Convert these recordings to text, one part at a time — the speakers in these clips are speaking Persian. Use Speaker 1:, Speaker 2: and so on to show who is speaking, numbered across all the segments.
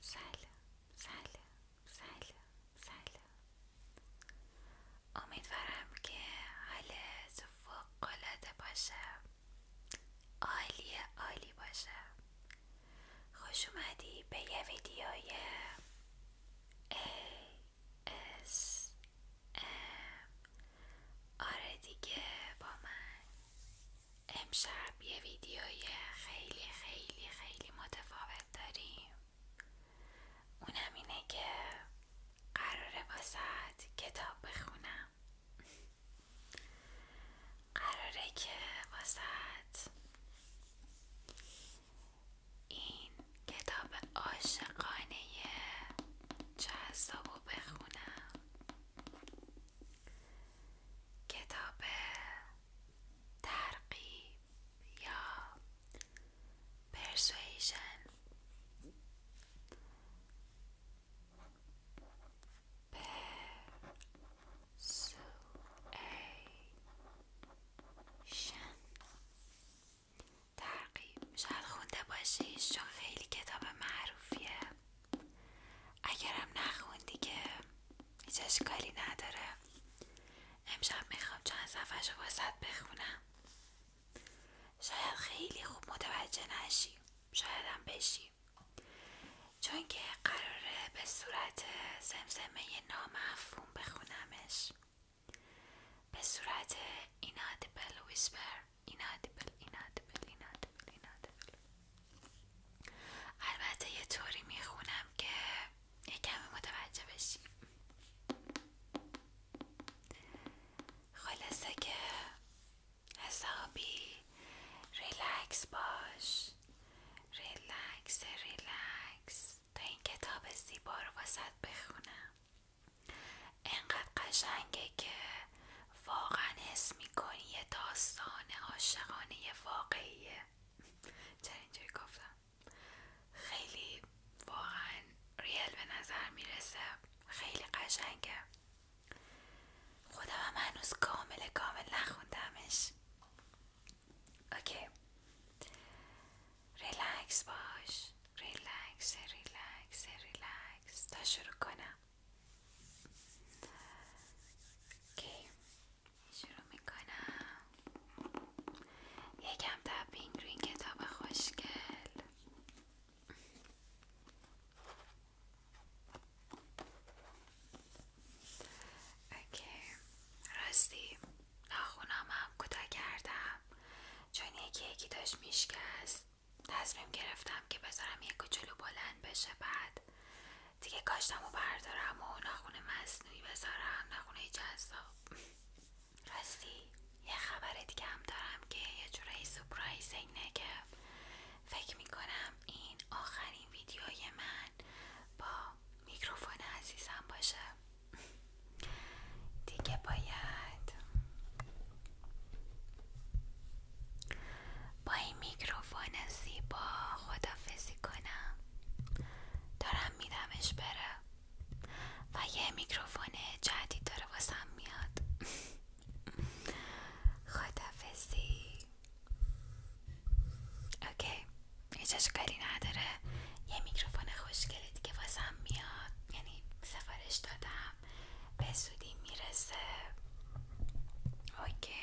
Speaker 1: سلام سلام سلام سلام امیدوارم که حالت فوق العاده باشه عالی عالی باشه خوش اومدی به یه ویدیوی اس ام آره دیگه با من امشب یه ویدیوی خیلی خیلی خیلی متفاوت داریم اونم اینه که قراره واسط کتاب بخونم قراره که واسط این کتاب عاشقانه جذاب بخونم کتاب ترقیب یا پرسویشن پرسویشن ترقیب شاید خونده باشیش چون خیلی کتاب معروفیه اگرم نخوندی که هیچ اشکالی نداره امشب میخوام چند صفحه رو واسط بخونم شاید خیلی خوب متوجه نشی شاید هم بشی چون که قراره به صورت زمزمه نامفهوم بخونمش به صورت اینادبل ویسپر اینادیبل اینادیبل اینادیبل البته یه طوری میخونم که یکم متوجه بشیم خلاصه که حسابی ریلکس باش ریلکس ریلکس تا این کتاب زیبا رو واسط بخونم انقدر قشنگه که واقعا حس میکنی یه داستان عاشقانه واقعیه چرا گفتم خیلی واقعا ریل به نظر میرسه خیلی قشنگه خودم هم هنوز کامل کامل نخوندمش اوکی ریلکس باش ریلکس ریلکس ریلکس تا شروع کنم اوکی شروع میکنم یکم تپینگ روی این کتاب خوشگل اوکی راستی ناخونام هم کوتاه کردم چون یکی یکی داشت میشکست تصمیم گرفتم که بذارم یک کچلو بلند بشه بعد دیگه کاشتم و بردارم و ناخون مصنوعی بذارم نقونه جذاب راستی یه خبر دیگه هم دارم که یه جورایی سپرایز اینه که فکر میکنم این آخرین ویدیوی من با میکروفون عزیزم باشه دیگه باید با این میکروفون زیبا خدافزی کنم دارم میدمش بره و یه میکروفون جدید داره واسم میاد خدافزی اوکی هیچ اشکالی نداره یه میکروفون خوشگلی دیگه واسم میاد یعنی سفارش دادم به زودی میرسه اوکی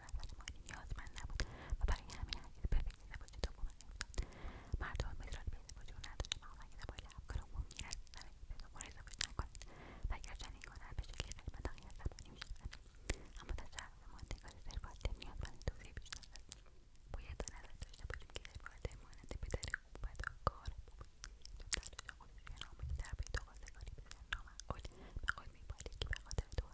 Speaker 1: نظر مالی نیازمند نبود و برای همه هرگز به فکر زواج دوم نیفتاد مردم مدرال به زواج او نداشت اما اگه دنبال افکار عمومی نرسیدند به دنبال ازدواج نکنند و اگر چنین کنند به شکل غیرمنطقی از زبانی میشوند اما تجربه ماندگار سرباده نیازمند توضیح بیشتر است باید در نظر داشته باشیم که سرباده مانند پدر خوب فداکار بود چون تلاش خودش در پیدا به سر نامعقول به که به خاطر دو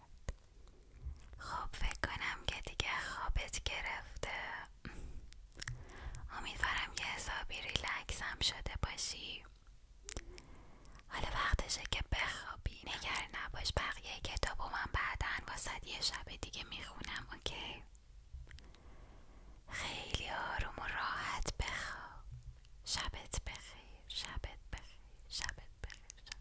Speaker 1: خب فکر کنم که دیگه خوابت گرفته امیدوارم که حسابی ریلکس هم شده باشی حالا وقتشه که بخوابی نگر نباش بقیه کتابو من بعدا واسد یه شب دیگه میخونم اوکی خیلی آروم و راحت بخواب شبت بخیر شبت بخیر شبت بخیر